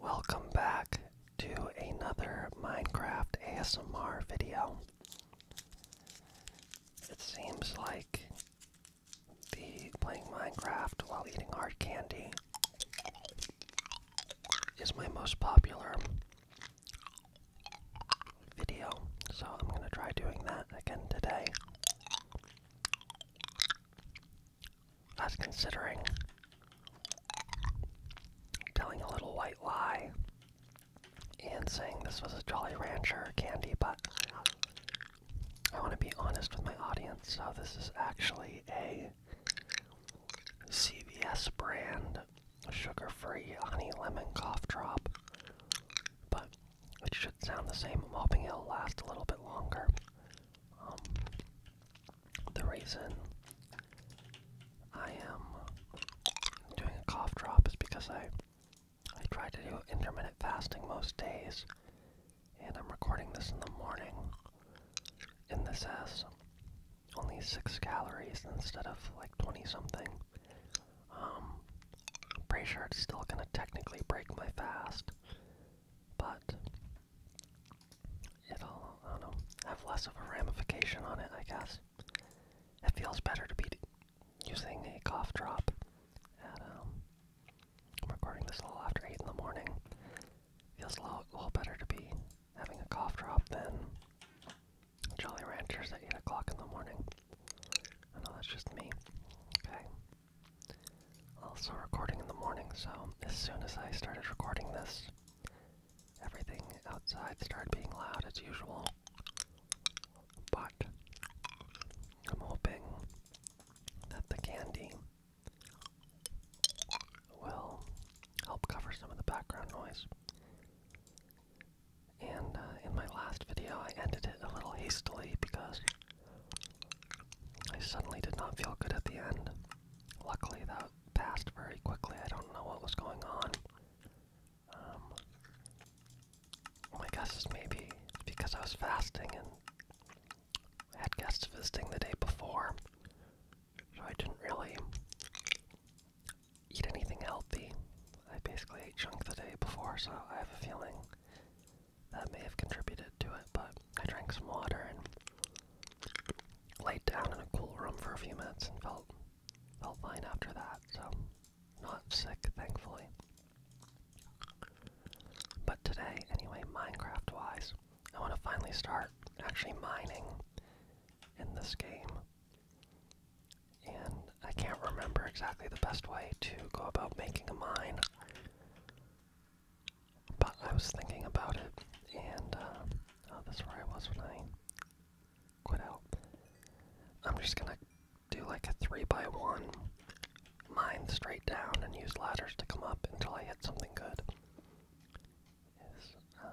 Welcome back to another Minecraft ASMR video. It seems like the playing Minecraft while eating hard candy is my most popular video, so I'm going to try doing that again today. I was considering telling a little white lie and saying this was a Jolly Rancher candy, but I want to be honest with my audience. So, this is actually a CVS brand sugar free honey lemon cough drop, but it should sound the same. I'm hoping it'll last a little bit longer. Um, the reason I am doing a cough drop is because I I try to do intermittent fasting most days, and I'm recording this in the morning, In this has only six calories instead of like twenty something. Um, i pretty sure it's still gonna technically break my fast, but it'll, I don't know, have less of a ramification on it, I guess. It feels better to be using a cough drop um, recording this little after 8 in the morning. Feels a little, a little better to be having a cough drop than Jolly Ranchers at 8 o'clock in the morning. I know that's just me. Okay. Also recording in the morning, so as soon as I started recording this, everything outside started being loud as usual. But I'm hoping that the candy will help cover some of the background noise. And uh, in my last video, I ended it a little hastily because I suddenly did not feel good at the end. Luckily, that passed very quickly. I don't know what was going on. Um, my guess is maybe because I was fasting and I had guests visiting the day before, so I didn't really eat anything healthy. I basically ate junk the day before, so I have a feeling that may have contributed to it, but I drank some water and laid down in a cool room for a few minutes and felt felt fine after that, so not sick thankfully. But today, anyway, Minecraft wise, I want to finally start actually mining in this game. And I can't remember exactly the best way to go about making a mine. But I was thinking about it, and uh, oh, that's where I was when I quit out. I'm just gonna do like a three by one, mine straight down, and use ladders to come up until I hit something good. Is uh,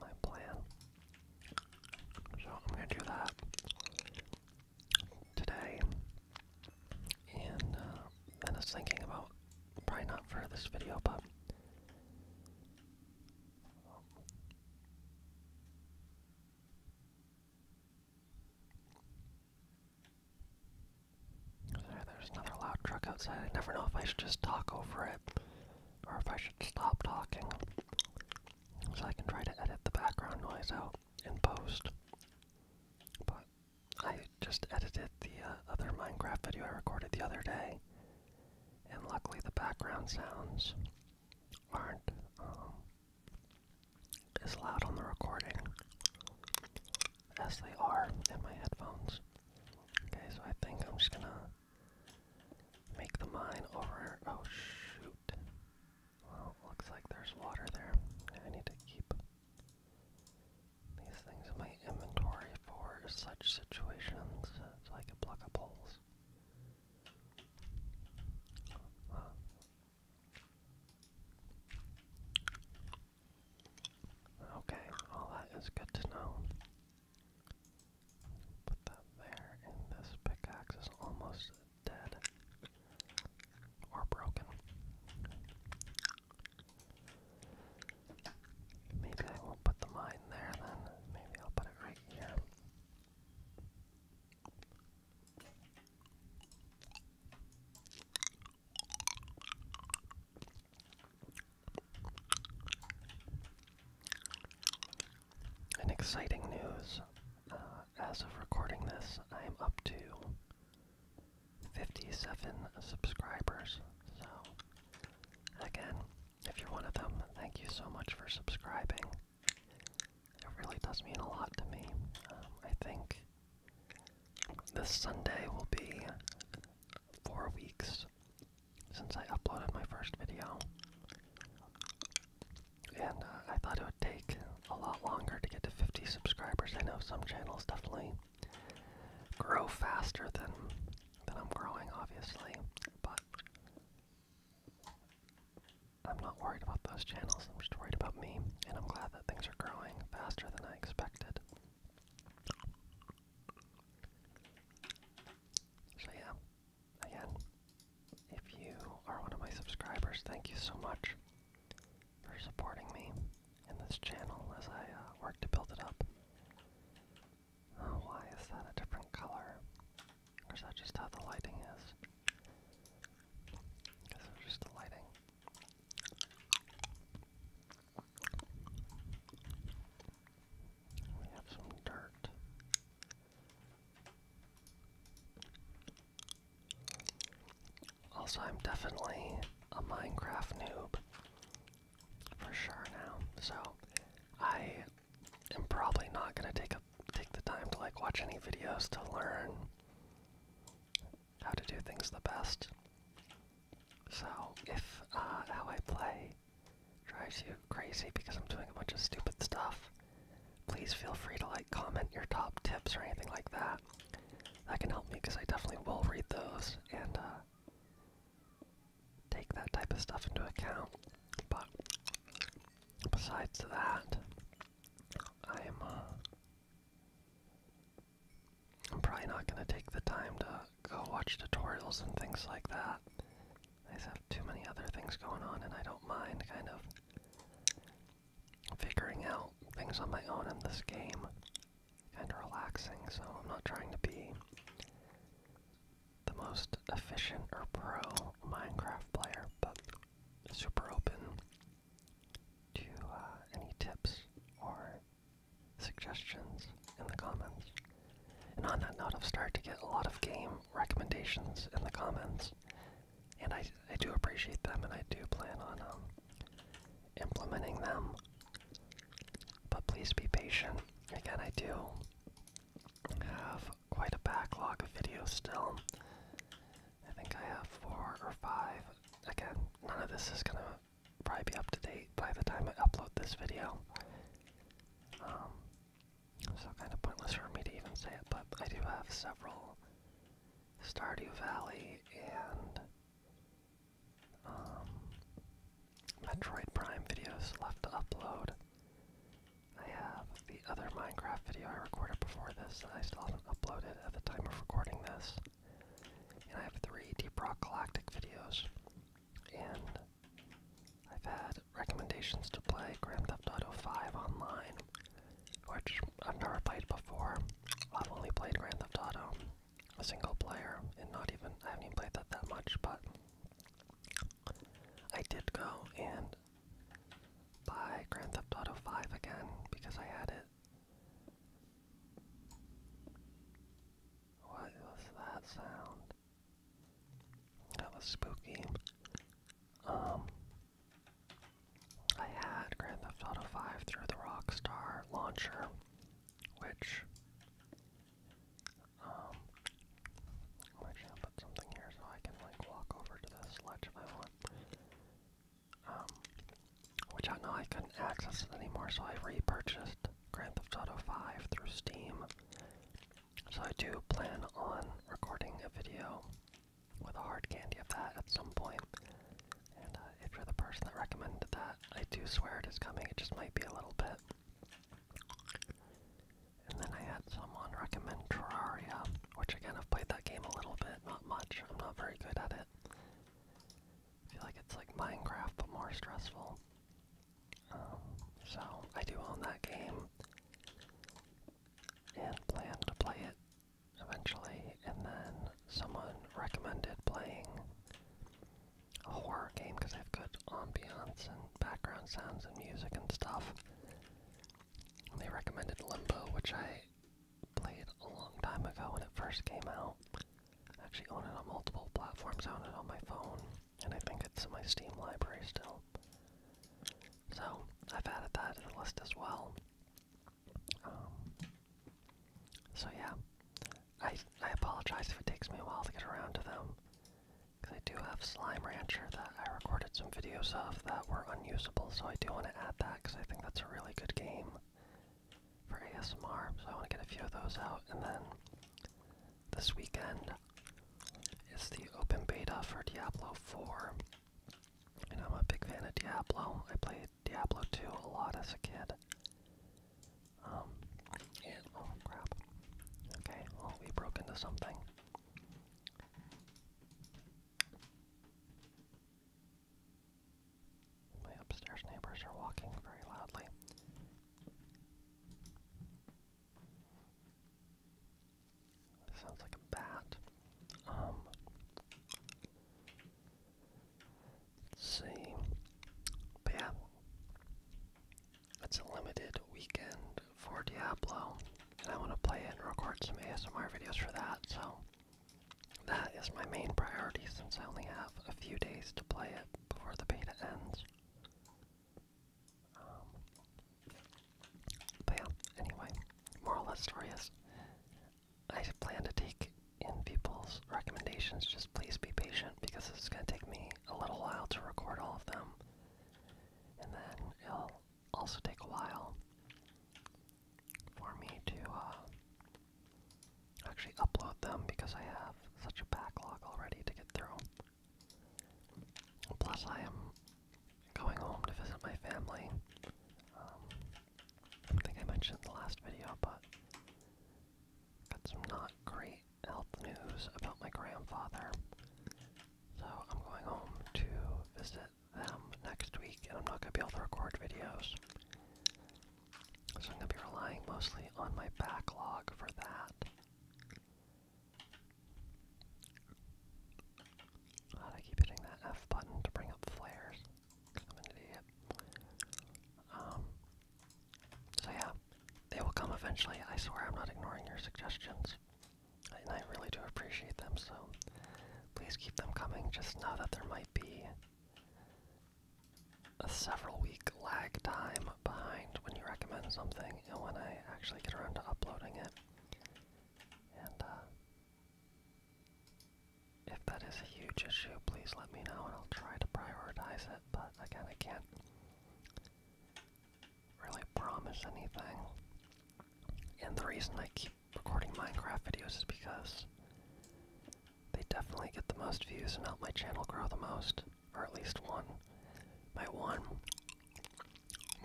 my plan. So I'm gonna do that today, and uh, I was thinking about probably not for this video, but there's another loud truck outside. I never know if I should just talk over it or if I should stop talking so I can try to edit the background noise out in post. But I just edited the uh, other Minecraft video I recorded the other day, and luckily the background sounds aren't um, as loud on the recording as they are in my headphones. Okay, so I think I'm just gonna make the mine over. here. Oh shoot! Well, looks like there's water there. I need to keep these things in my inventory for such situations, like I can pluck up Okay, all that is good to know. Put that there, and this pickaxe is almost dead or broken. Maybe I won't put the mine there then. Maybe I'll put it right here. And exciting news. Uh, as of recording this, I am up to 57 subscribers. So, again, if you're one of them, thank you so much for subscribing. It really does mean a lot to me. Um, I think this Sunday will be four weeks since I uploaded my first video. And uh, I thought it would take a lot longer to get to 50 subscribers. I know some channels definitely grow faster than than I'm growing, obviously, but I'm not worried about those channels. I'm just worried about me, and I'm glad that things are growing faster than I expected. So yeah, again, if you are one of my subscribers, thank you so much for supporting me in this channel as I uh, work to build it up. Uh, why is that a different color? is that just how the lighting is? I guess just the lighting. We have some dirt. Also, I'm definitely a Minecraft noob for sure now, so I am probably not gonna take take the time to like watch any videos to learn how to do things the best. So if uh, how I play drives you crazy because I'm doing a bunch of stupid stuff, please feel free to like comment your top tips or anything like that that can help me because I definitely will read those and uh, take that type of stuff into account. But besides that, I am. Uh, I'm probably not going to take the time to go watch tutorials and things like that. I just have too many other things going on, and I don't mind kind of figuring out things on my own in this game and relaxing, so I'm not trying to be the most efficient or pro Minecraft player, but super open to uh, any tips or suggestions in the comments. And on that note, I've started to get a lot of game recommendations in the comments, and I, I do appreciate them, and I do plan on um, implementing them. But please be patient. Again, I do have quite a backlog of videos still. I think I have four or five. Again, none of this is going to probably be up to date by the time I upload this video. Um, so kind of pointless for me to even say it, but I do have several Stardew Valley and um, Metroid Prime videos left to upload. I have the other Minecraft video I recorded before this that I still haven't uploaded at the time of recording this. And I have three Deep Rock Galactic videos. And I've had recommendations to play Grand Theft Auto 5 online which I've never played before. I've only played Grand Theft Auto, a single player, and not even, I haven't even played that that much, but I did go and buy Grand Theft Auto 5 again because I had it. What was that sound? That was spooky. Um, I had Grand Theft Auto 5 through the Rockstar launcher, which um i put something here so I can like walk over to this ledge if I want. Um which I know I couldn't access anymore, so I repurchased Grand Theft Auto 5 through Steam. So I do plan on recording a video with a hard candy of that at some And uh, if you're the person that recommended that, I do swear it is coming. It just might be a little bit. And then I had someone recommend Terraria, which again I've played that game a little bit, not much. I'm not very good at it. I feel like it's like Minecraft but more stressful. Um, so I do own that game and plan to play it eventually, and then someone recommended playing a horror game because they have good ambience and background sounds and music and stuff. they recommended Limbo, which I played a long time ago when it first came out. I actually own it on multiple platforms, I own it on my phone, and I think it's in my Steam library still. So, I've added that to the list as well. Um, so yeah, I I apologize if it takes me a while to get around to them, because I do have Slime Rancher that I recorded some videos of that were unusable, so I do want to add that because I think that's a really good game for ASMR. So I want to get a few of those out, and then this weekend is the open beta for Diablo 4. And I'm a big fan of Diablo. I played Diablo 2 a lot as a kid. Um, and, oh we broke into something. My upstairs neighbors are walking very loudly. Sounds like a bat. Um, Let's see. But yeah. It's a limited weekend for Diablo. And I want to play it and record some ASMR videos for that, so that is my main priority since I only have a few days to play it before the beta ends. Um, but yeah, anyway, moral of the story I plan to take in people's recommendations. Just please be patient because it's going to take me a little while to record all of them. And then it'll also take a while for me to uh, actually upload them because I have such a backlog already to get through. Plus, I am going home to visit my family. Um, I think I mentioned the last video, but got some not great health news about my grandfather. So I'm going home to visit them next week, and I'm not going to be able to record videos. So I'm going to be relying mostly on my backlog for that. God, I keep hitting that F button to bring up flares i um, so yeah, they will come eventually. I swear I'm not ignoring your suggestions. And I really do appreciate them, so please keep them coming. Just know that there might be a several week lag time behind when you recommend something and when I actually get around to uploading it. Uh, if that is a huge issue, please let me know and I'll try to prioritize it, but again, I can't really promise anything. And the reason I keep recording Minecraft videos is because they definitely get the most views and help my channel grow the most, or at least one. My one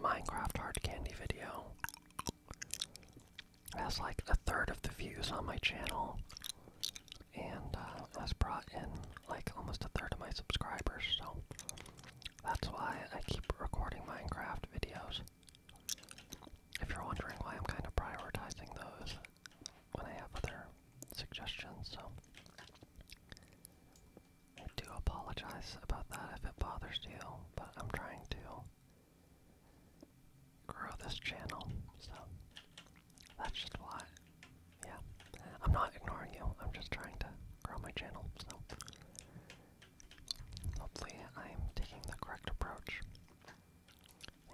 Minecraft hard candy video that's like a third of the views on my channel, and uh, that's brought in like almost a third of my subscribers, so that's why I keep recording Minecraft videos. If you're wondering why I'm kind of prioritizing those when I have other suggestions, so I do apologize about that if it bothers you, but I'm trying to grow this channel. So that's just why. Yeah. I'm not ignoring you. I'm just trying to grow my channel. So hopefully I'm taking the correct approach.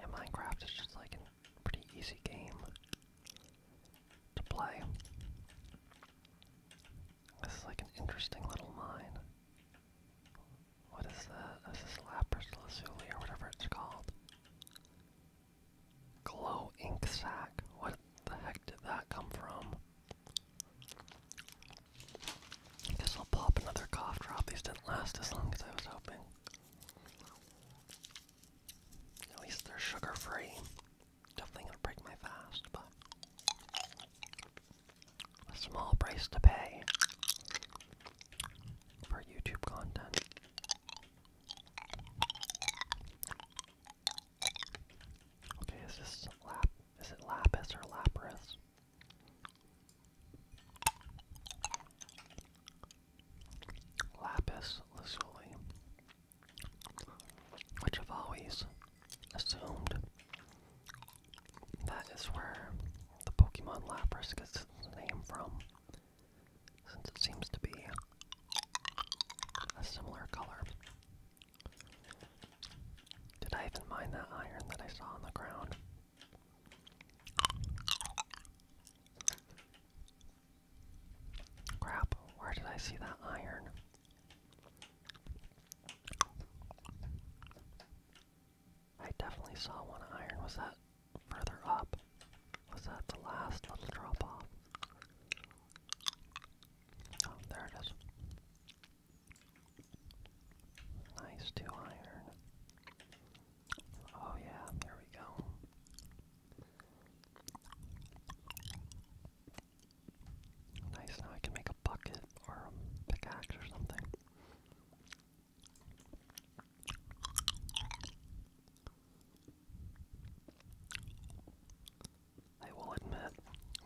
And Minecraft is just like a pretty easy game to play. This is like an interesting little mine. What is that? This is Lapis Lazuli or whatever it's called. Glow ink sac. What the heck did that come from? guess I'll pop another cough drop. These didn't last as long as I was hoping. At least they're sugar free. Definitely gonna break my fast, but a small price to pay for YouTube content. Okay, is this lap? Is it lapis or lapras? Lapis lazuli, which I've always assumed that is where the Pokemon Lapras gets its name from, since it seems to be a similar color. Did I even mind that iron that I saw on the ground? Crap, where did I see that iron? I definitely saw one iron. Was that further up? Was that the last little drop off? Oh, there it is. Nice two iron. Oh yeah, there we go. Nice, now I can make a bucket or pickaxe or something. I will admit,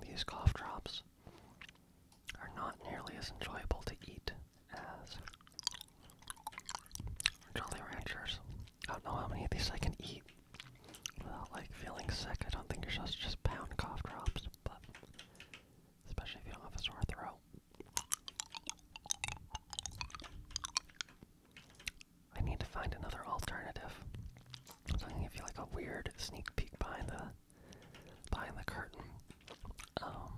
these cough drops are not nearly as enjoyable to eat as Jolly Ranchers. I don't know how many of these I can eat without like feeling sick. I don't think you're supposed to just pound cough drops, but especially if you don't have a sore throat. I need to find another alternative. So I'm going you like a weird sneak peek behind the behind the curtain. Um,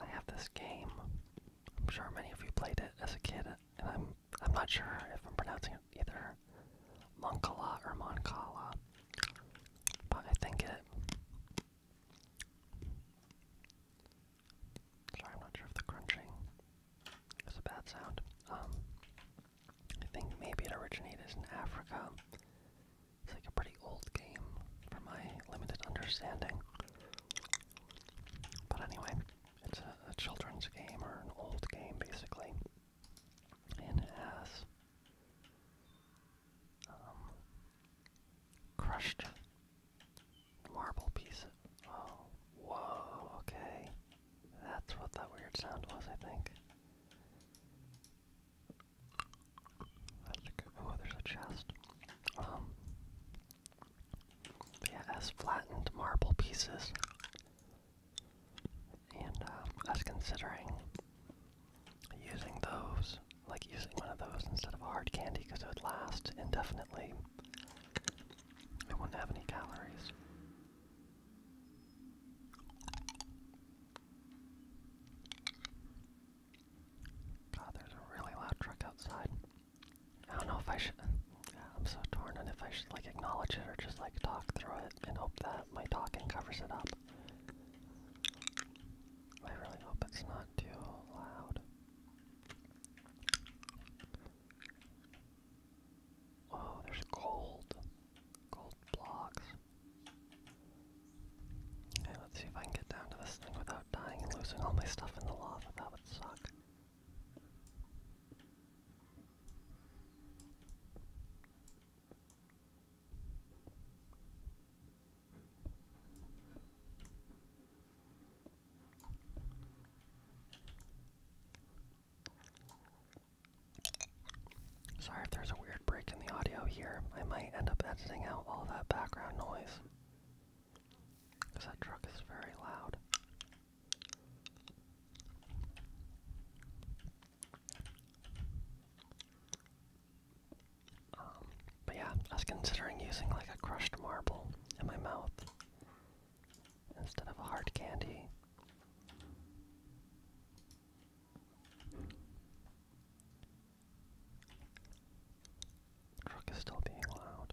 I have this game. I'm sure many of you played it as a kid, and I'm I'm not sure if I'm pronouncing it either or or Moncala. But I think it. Sorry, I'm not sure if the crunching is a bad sound. Um, I think maybe it originated in Africa. It's like a pretty old game, for my limited understanding. But anyway, it's a children's game or an old game, basically and it has um, crushed marble piece. Oh, whoa, okay. That's what that weird sound was, I think. oh, there's a chest. Um, but yeah, flattened marble pieces and I um, was considering using those, like using one of those instead of hard candy because it would last indefinitely. It wouldn't have any calories. God, there's a really loud truck outside. I don't know if I should. I'm so torn on if I should like acknowledge it or just like talk through it and hope that my talking covers it up. I really hope it's not too loud. Oh, there's gold. Gold blocks. Okay, let's see if I can get down to this thing without dying and losing all my stuff in the lava. That would suck. Sorry if there's a weird break in the audio here. I might end up editing out all that background noise. Because that truck is very loud. Um, but yeah, I was considering using like a crushed marble in my mouth instead of a hard candy. Truck is still being loud.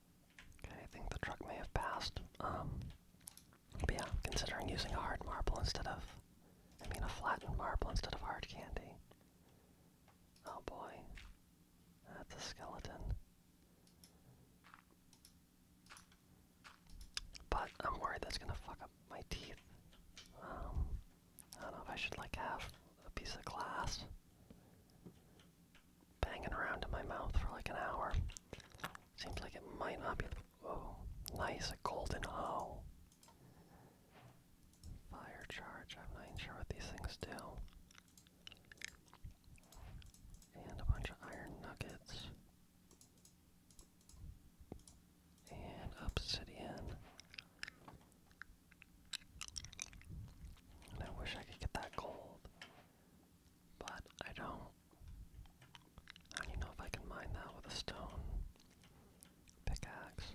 Okay, I think the truck may have passed. Um, but yeah, considering using a hard marble instead of, I mean, a flattened marble instead of hard candy. Oh boy, that's a skeleton. But I'm worried that's gonna fuck up my teeth. Um, I don't know if I should like have a piece of glass banging around in my mouth for like an hour. Seems like it might not be. Whoa, nice, a golden O. Fire charge, I'm not even sure what these things do. And a bunch of iron nuggets. And obsidian. I wish I could get that gold. But I don't. I do know if I can mine that with a stone pickaxe.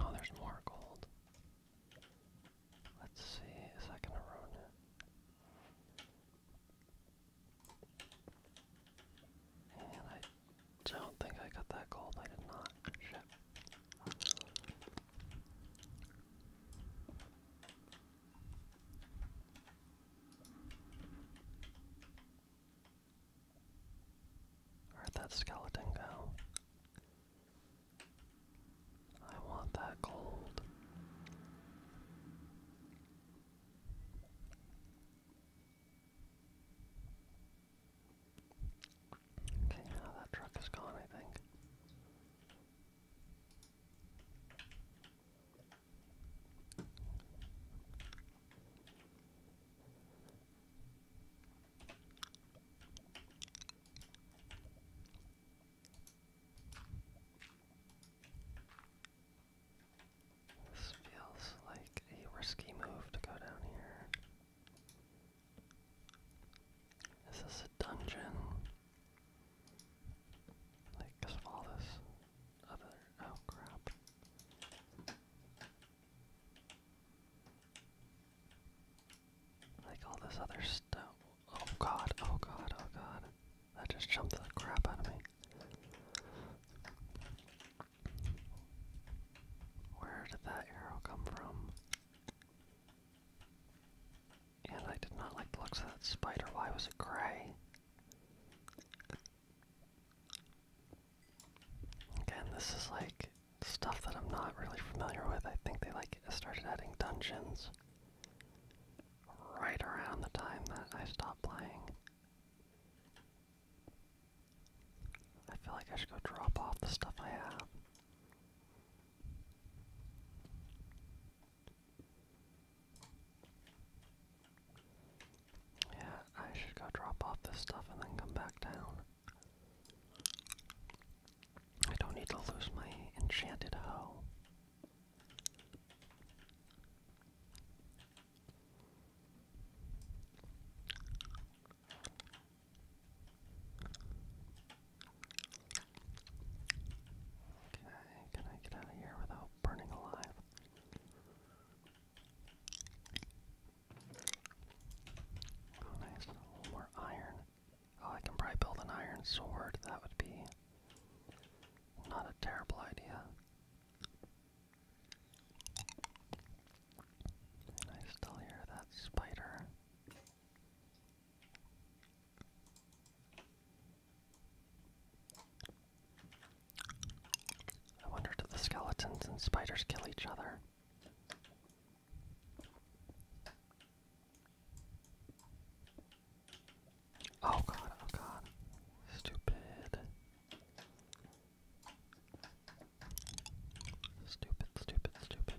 Oh, there's more gold. Let's see, is that gonna ruin it? And I I don't think I got that gold. I did not. Where'd that skeleton go? I want that gold. Okay, now that truck is gone, I think. This feels like a risky move to go down here. Is this a dungeon? Like, cause all this other. Oh crap. Like all this other stuff. Oh god, oh god, oh god. That just jumped the crap out of me. Where did that arrow come from? And I did not like the looks of that spider. Why was it gray? Again, this is like stuff that I'm not really familiar with. I think they like started adding dungeons right around the time that I stopped playing. I feel like I should go drop off the stuff I have. Yeah, I should go drop off this stuff and then come back down. I don't need to lose my enchanted hoe. Okay, can I get out of here without burning alive? Oh, nice. more iron. Oh, I can probably build an iron sword. That would be not a terrible idea. I still hear that spider. I wonder do the skeletons and spiders kill each other? Oh god, oh god. Stupid. Stupid, stupid, stupid.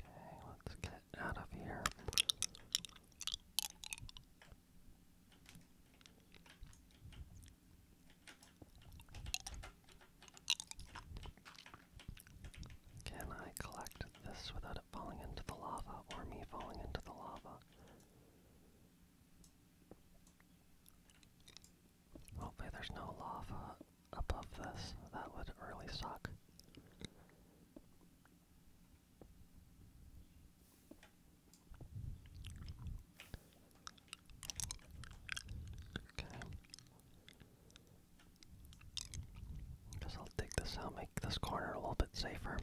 Okay, let's get out of here. Can I collect this without falling into the lava or me falling into the lava. Hopefully, there's no lava above this. That would really suck. Okay. Guess I'll dig this out, make this corner a little bit safer.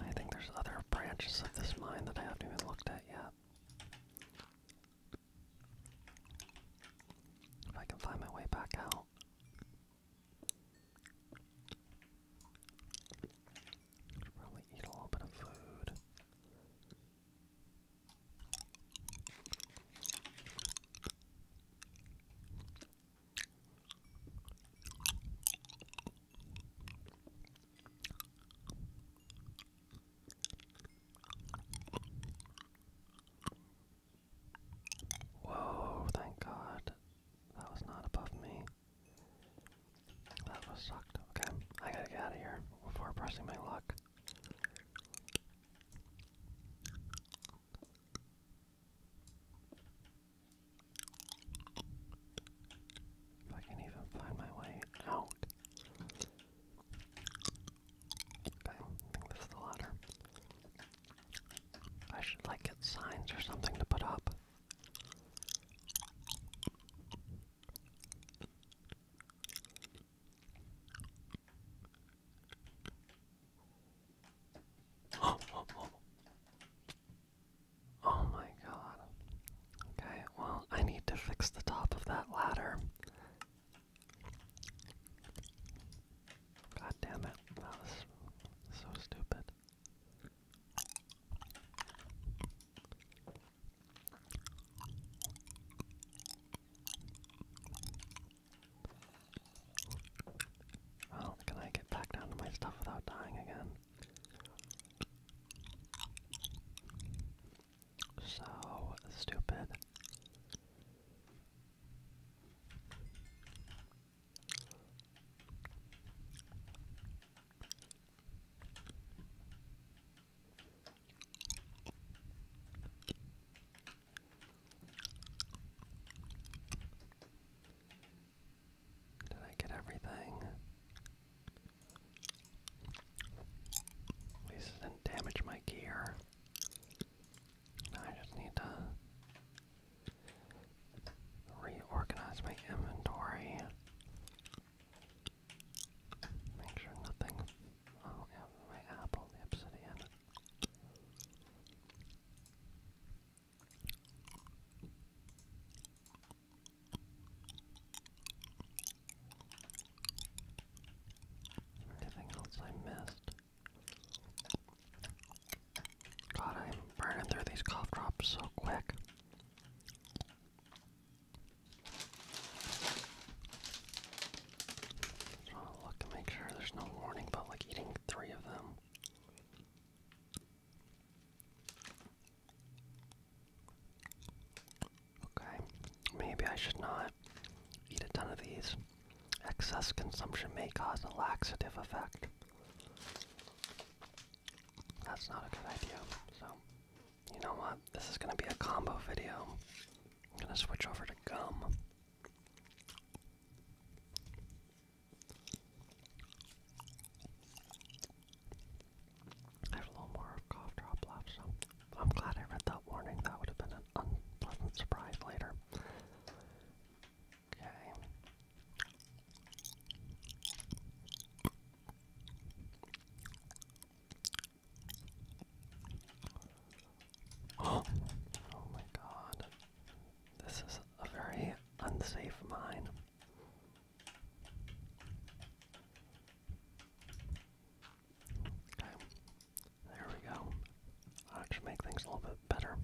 I think there's other branches of this mine that I haven't even looked at yet. If I can find my way back out probably eat a little bit of food. Whoa, thank God. That was not above me. That was sucked. Okay, I gotta get out of here before pressing my luck. If I can even find my way out. Okay, I think this is the ladder. I should like get signs or something to put up. Oh, my god. Okay, well, I need to fix the top of that ladder. God damn it, that was so stupid. Well, can I get back down to my stuff without dying again? So stupid. Did I get everything? At didn't damage my gear. I just need to reorganize my inventory. Make sure nothing. Oh, my apple, the obsidian. Anything else I missed? God, I'm burning through these cough drops so quick. Just want to look and make sure there's no warning about like eating three of them. Okay, maybe I should not eat a ton of these. Excess consumption may cause a laxative effect. That's not a good idea. So, you know what? This is going to be a combo video. I'm going to switch over to gum. I have a little more cough drop left, so I'm glad I read that warning. That would have been an unpleasant surprise later. Oh, my god. This is a very unsafe mine. Okay. There we go. I'll just make things a little bit better.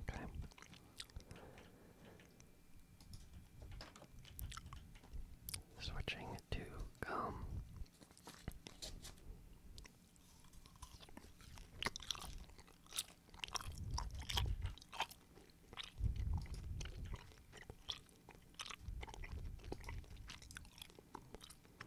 Okay. Switching to gum.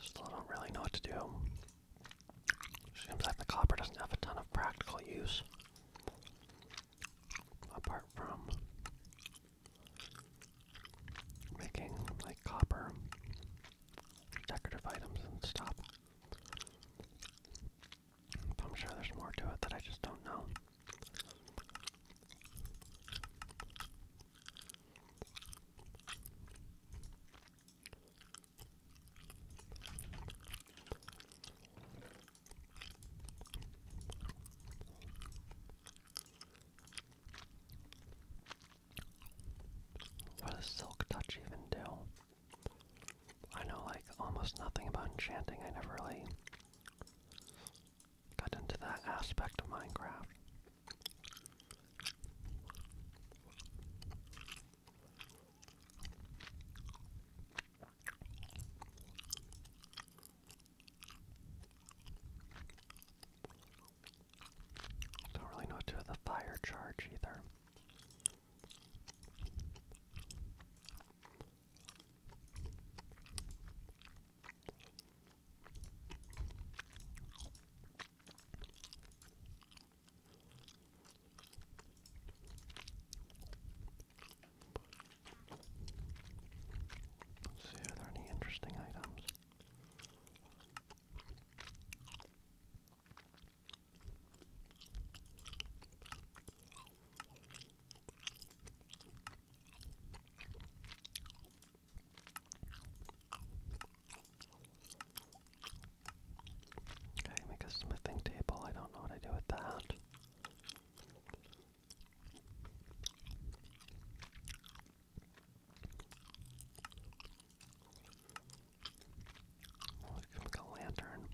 Still don't really know what to do. Seems like the copper doesn't have a ton of practical use apart from making like copper decorative items and stuff. I'm sure there's more to it that I just don't know. What does Silk Touch even do? I know like almost nothing about enchanting. I never really got into that aspect of Minecraft. Don't really know what to do with the fire charge either. Let's see, are there any interesting items? Okay, make a smithing table. I don't know what I do with that. Oh, it like a lantern.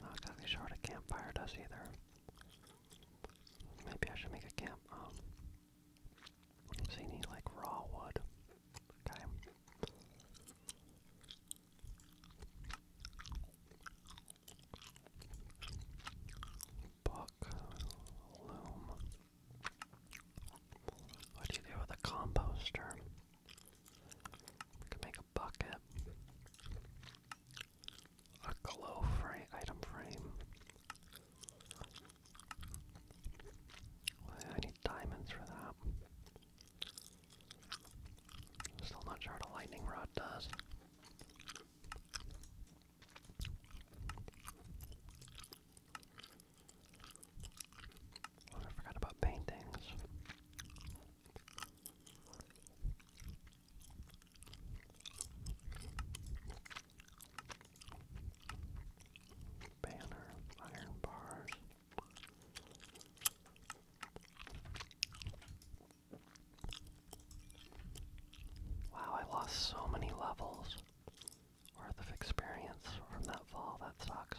Not exactly sure what a campfire does either. Maybe I should make a camp um, so need like raw wood. Okay. Book loom. What do you do with a composter? can make a bucket. A glow frame item frame. I need diamonds for that. still not sure what a lightning rod does. Oh, I forgot about paintings banner, iron bars. Wow, I lost so many levels worth of experience from that fall. That sucks.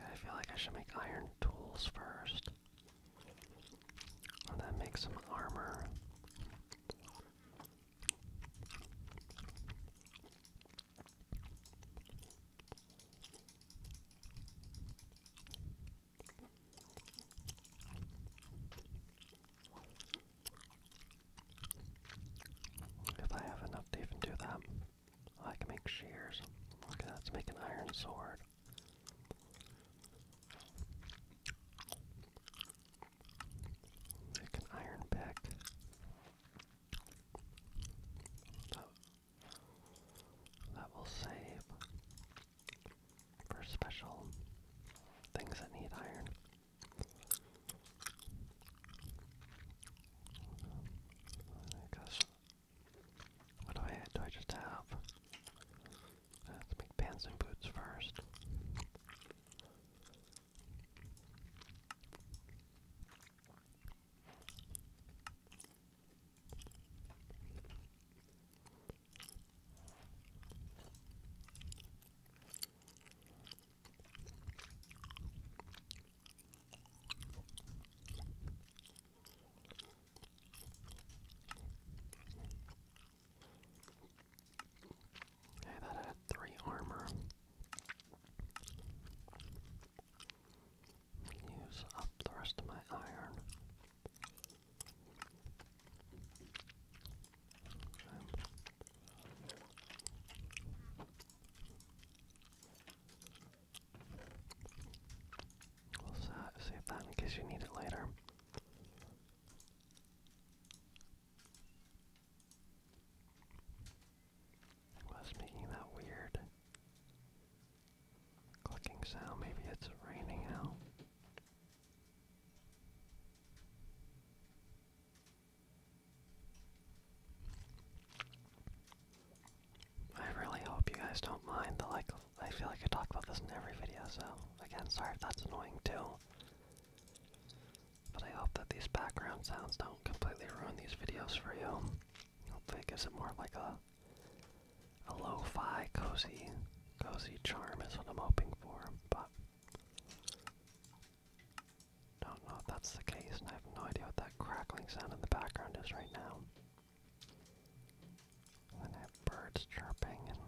I feel like I should make iron tools first that makes some armor. If I have enough even do that, I can make shears. Okay, let's make an iron sword. Like an iron pick. That, will save for special things that need iron. I guess. What do I do? I just have Let's make pants and boots first. Okay, that had three armor. Use up the rest of my iron. We'll save that in case you need it later. What's making that weird clicking sound? Maybe it's raining out. I really hope you guys don't mind the like I feel like I talk about this in every video, so again, sorry that's annoying too. But I hope that these background sounds don't completely ruin these videos for you. Hopefully it gives it more like a a lo-fi cozy cozy charm is what I'm hoping for, but don't know if that's the case and I have no idea what that crackling sound in the background is right now. And birds chirping and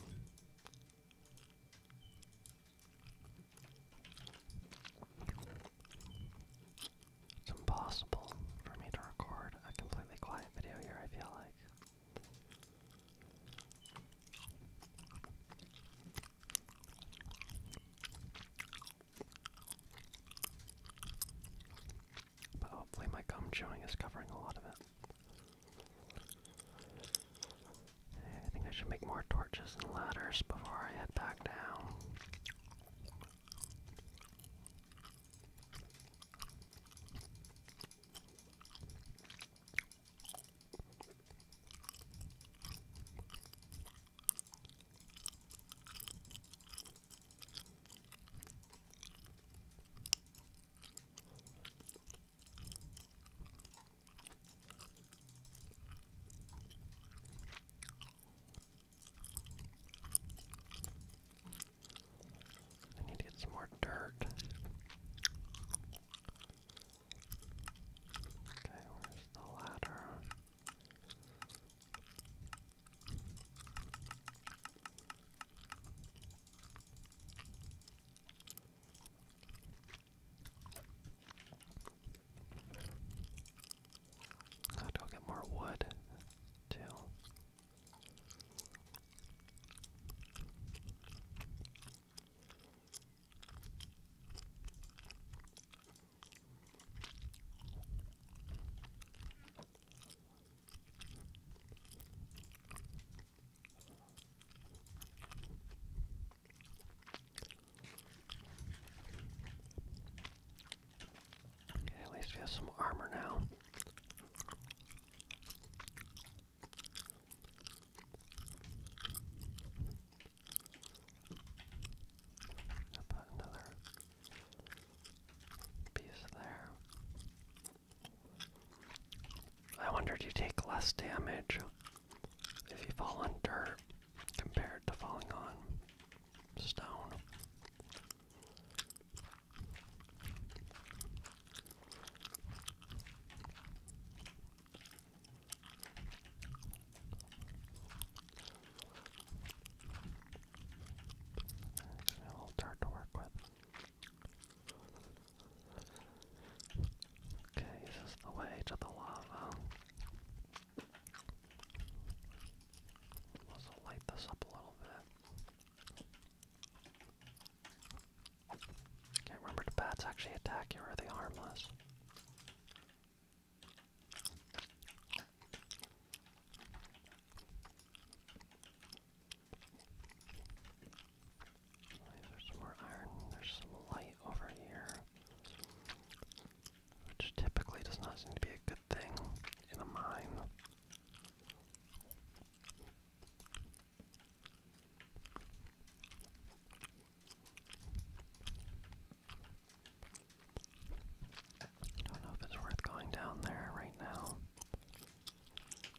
it's impossible for me to record a completely quiet video here, I feel like. But hopefully my gum chewing is covering a lot of it. I think I should make more torches and ladders before I head back down. I need to get some more dirt. Okay, where's the ladder? I'll go get more wood, too at least we have some armor now. i put another piece there. I wonder if you take less damage if you fall on dirt compared to falling on stone? A little dirt to work with. Okay, is the way to the lava? Let's light this up a little bit. can remember the bats actually attack you or they harmless? There's some more iron. There's some light over here. Which typically does not seem to be a good thing in a mine. I don't know if it's worth going down there right now.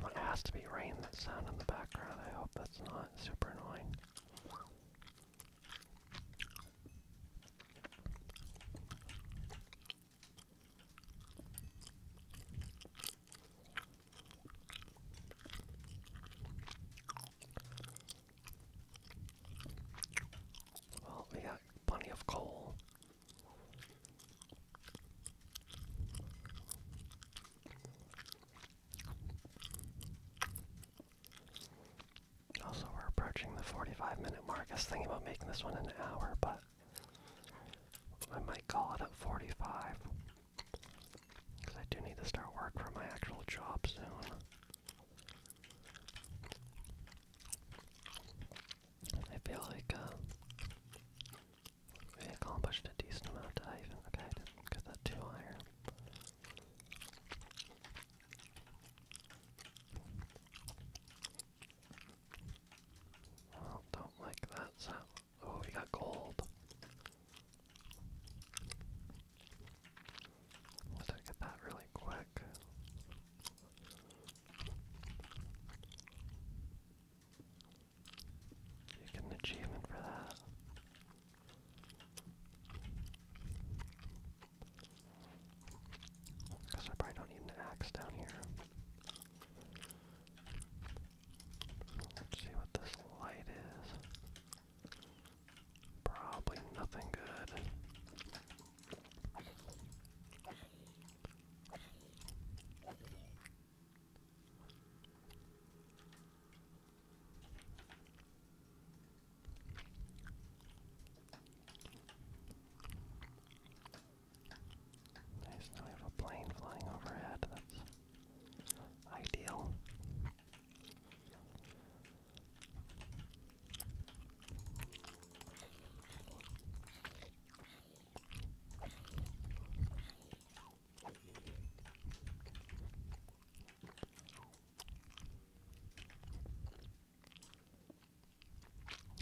Well, it has to be rain that sound in the background. I hope that's not super annoying. Well, we got plenty of coal. Also, we're approaching the 45 minute mark. I was thinking about making this one an hour, but I might call it at 45. Because I do need to start work for my actual job soon. I feel like uh, we accomplished a decent amount today. Okay, I that too higher. Oh, don't like that Oh, we got gold. Let's get that really quick. You get an achievement for that. Because I probably don't need an axe down here. Let's see what this light is. Probably nothing good. Nice, now we have a plane flying overhead, that's ideal.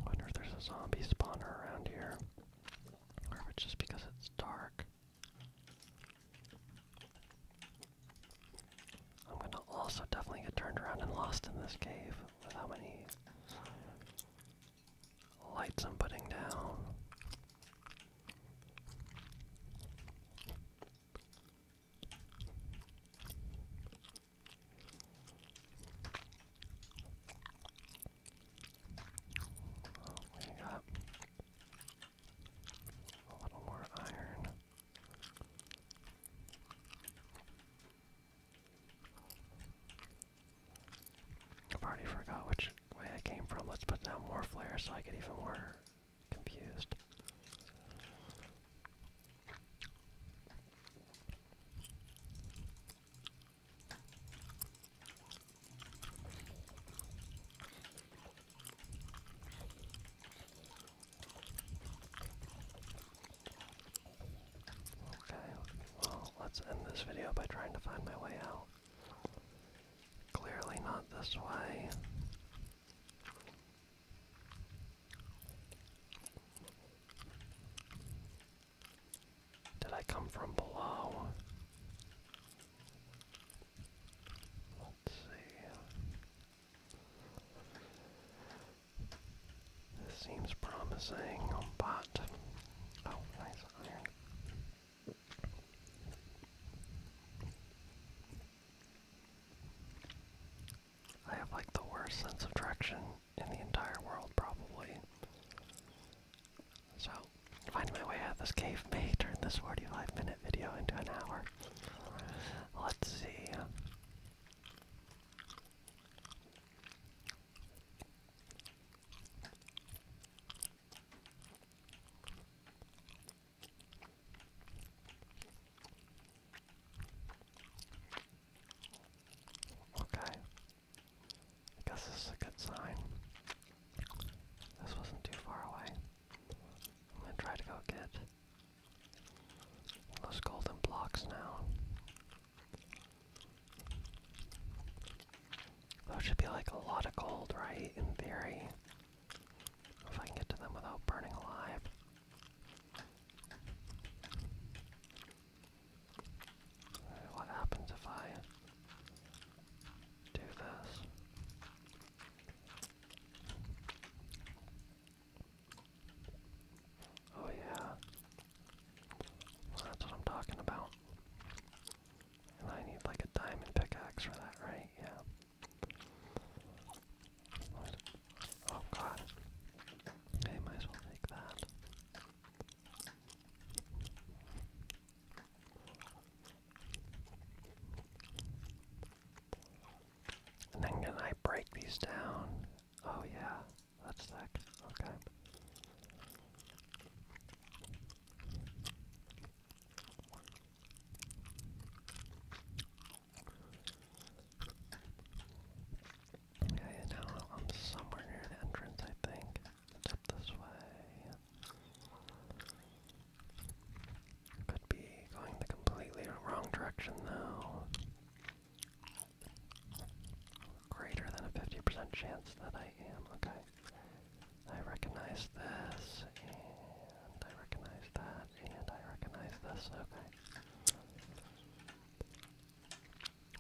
I wonder if there's a zombie spawner around here. Or if it's just because it's dark. I'm gonna also definitely get turned around and lost in this cave with how lights I'm putting down. We got a little more iron. I've already forgot which way I came from. Let's put down more flares so I get even more confused. Okay, well, let's end this video by trying to find my way out. Clearly not this way. Did I come from below? Let's see. This seems promising, but oh, nice iron. I have like the worst sense of direction in the entire world, probably. So, finding my way out of this cave may turn this 45 minute video into an hour. Let's see. Okay. I guess this is a good sign. This wasn't too far away. I'm gonna try to go get those golden blocks now. Those should be like a lot of gold, right? In theory. If I can get to them without burning alive. What happens if I do this? Oh, yeah. that's what I'm talking about. And I need like a diamond pickaxe for that, right? Yeah. Oh god. I might as well take that. then can I break these down? Oh yeah, that's sick. Okay. Yeah, now I'm somewhere near an entrance, I think. this way. Could be going the completely wrong direction, though. Greater than a 50% chance that I am. Okay. I recognize this, and I recognize that, and I recognize this. Okay.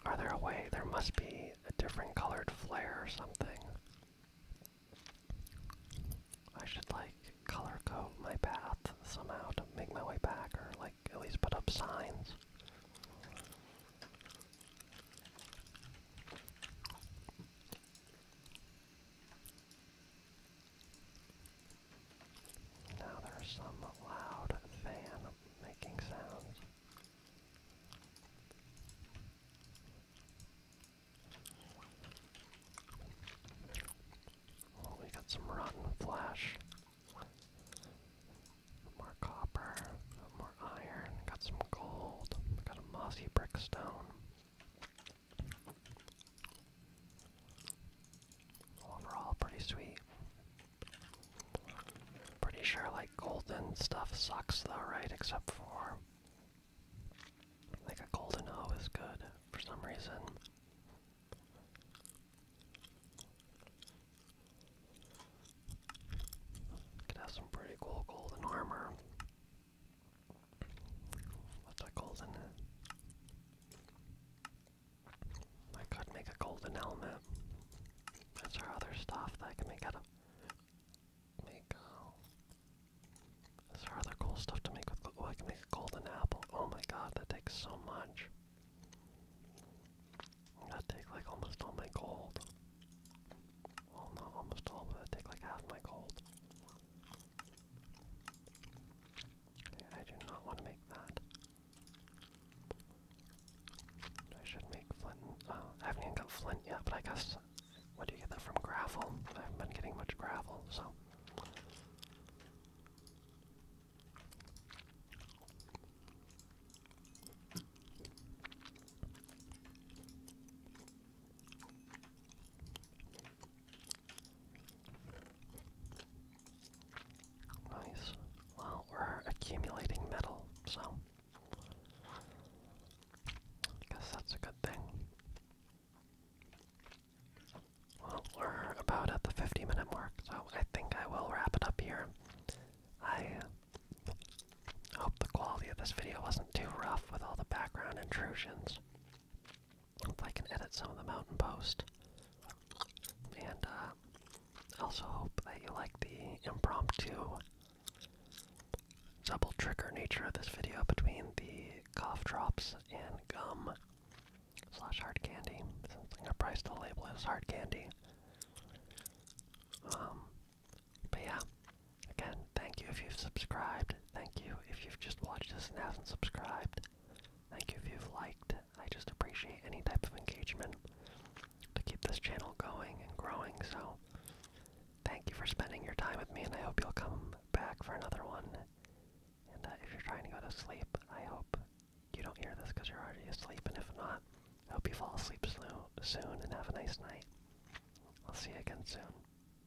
Are there a way? There must be a different colored flare or something. I should like color code my path somehow to make my way back, or like at least put up signs. Now there's some loud fan making sounds. we got some rotten flesh. More copper, more iron, got some gold, got a mossy brick Overall, pretty sweet. Pretty sure like golden stuff sucks though, right? Except for like a golden O is good for some reason. Could have some pretty cool golden armor. What's a golden? I could make a golden helmet. That's our other stuff that I can make out of make uh, that's our other cool stuff to make with oh I can make a golden apple. Oh my god, that takes so much. That take like almost all my gold. Well not almost all, that take like half my gold. I do not want to make that. I should make flint. Uh, I haven't even got flint yet, but I guess. What do you get that from? Gravel? I have been getting much gravel, so. Nice. Well, we're accumulating metal, so I guess that's a good thing. Well, we're about at the 50 minute mark, so I think I will wrap it up here. I hope the quality of this video wasn't too rough with all the background intrusions if I can edit some of the Mountain Post. And I uh, also hope that you like the impromptu double trigger nature of this video between the cough drops and gum slash hard candy. Since I'm gonna label as hard candy. Um, but yeah, again, thank you if you've subscribed. Thank you if you've just watched this and have not subscribed. Thank you if you've liked. I just appreciate any type of engagement to keep this channel going and growing. So, thank you for spending your time with me, and I hope you'll come back for another one. And uh, if you're trying to go to sleep, I hope you don't hear this because you're already asleep. And if not, I hope you fall asleep soon and have a nice night. I'll see you again soon.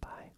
Bye.